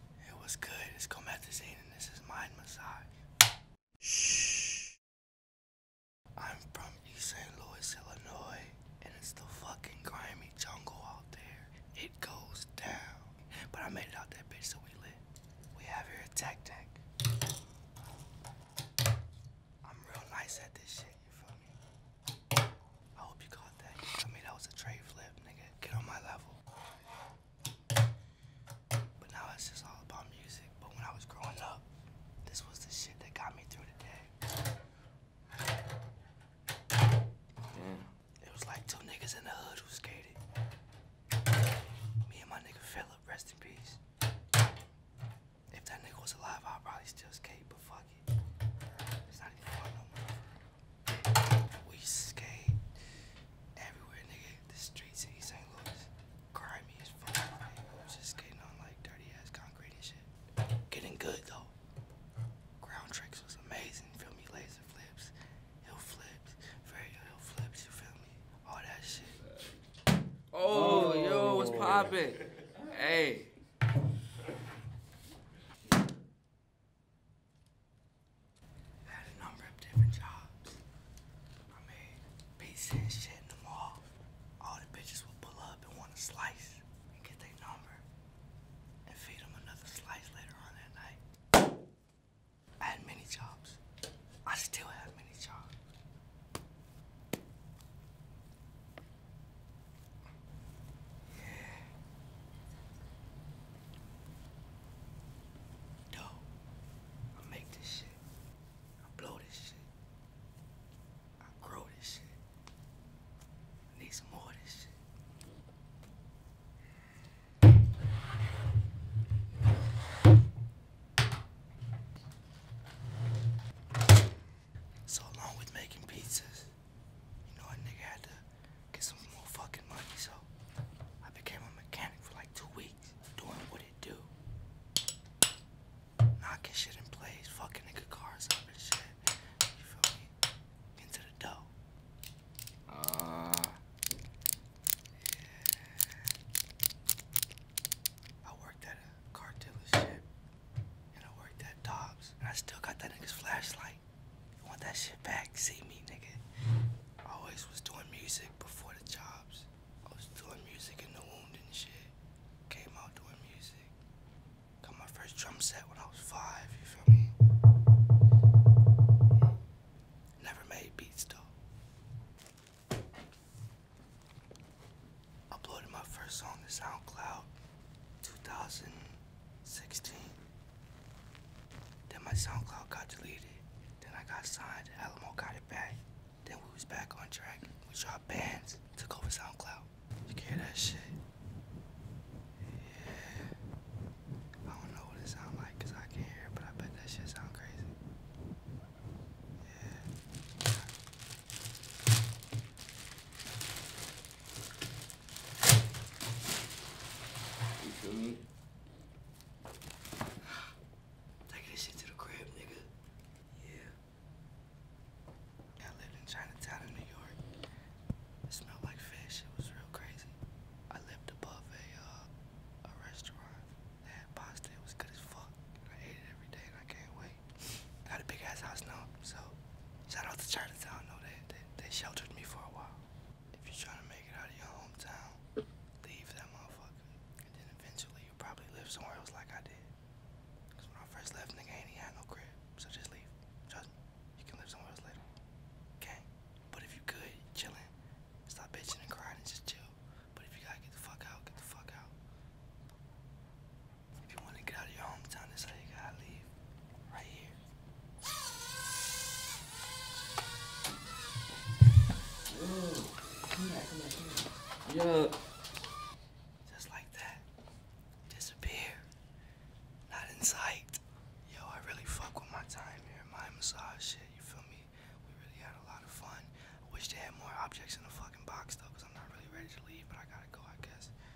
It was good. It's Comethazine and this is Mind Massage. Shh. I'm from East St. Louis, Illinois, and it's the fucking grimy jungle out there. It goes down. But I made it out that bitch so we lit. We have here a tac tac. I'm real nice at this shit, you feel me? I hope you caught that. I mean that was a trade flip, nigga. Get on my level. But now it's just all about music. But when I was growing up, this was the shit that got me through the day. It was like two niggas in the hood who skated. Me and my nigga Philip, rest in peace. If that nigga was alive, I'd probably still skate, but fuck it. It's not even fun no more. We skate everywhere, nigga. The streets in St. Louis, grimy as fuck. Man. was just skating on like dirty ass concrete and shit. Getting good though. Ground tricks was amazing. Feel me, laser flips, hill flips, very flips. You feel me? All that shit. Oh, oh. yo, what's poppin'? hey. I had a number of different jobs. I made pizza in the mall. All the bitches would pull up and want a slice and get their number and feed them another slice later on that night. I had many jobs. I still have many jobs. Yo, I make this shit. I blow this shit. I grow this shit. I need some more of this shit. So along with making pizzas, you know, a nigga had to get some more fucking money, so I became a mechanic for like two weeks, doing what it do. Knocking shit in place, fucking nigga cars up and shit. You feel me? Into the dough. Uh, yeah. I worked at a car dealership and I worked at Dobbs and I still got that nigga's flashlight. I want that shit back. See me, nigga. I always was doing music before the jobs. I was doing music in the wound and shit. Came out doing music. Got my first drum set when I was five, you feel me? Never made beats though. Uploaded my first song to SoundCloud. 2016. Then my SoundCloud got deleted. Then I got signed. Alamo got it back. Then we was back on track. We dropped bands. Took over SoundCloud. You hear that shit? Yeah. I don't know what it sound like I can't hear it, but I bet that shit sound crazy. Yeah. You feel me? Taking this shit to the crib, nigga. Yeah. I lived in Chinatown in New York. It smelled like fish. It was real crazy. I lived above a uh, a restaurant that had pasta. It was good as fuck. I ate it every day and I can't wait. Got a big ass house now, so shout out to Chinatown, no they they, sheltered me for a while. If you're trying to make it out of your hometown, leave that motherfucker. And then eventually you'll probably live somewhere else like I did. Cause when I first left, nigga ain't even had no crib. So just leave. Trust me. You can live somewhere else later. Okay? But if you good, chillin', stop bitching and crying and just chill. But if you gotta get the fuck out, get the fuck out. If you want to get out of your hometown, that's how you gotta leave. Right here. Yo, come back, come back, come back. Yo. Just like that. Disappear. Not in sight. Yo, I really fuck with my time here. My massage shit, you feel me? We really had a lot of fun. I wish they had more objects in the fucking box though, because I'm not really ready to leave, but I gotta go, I guess.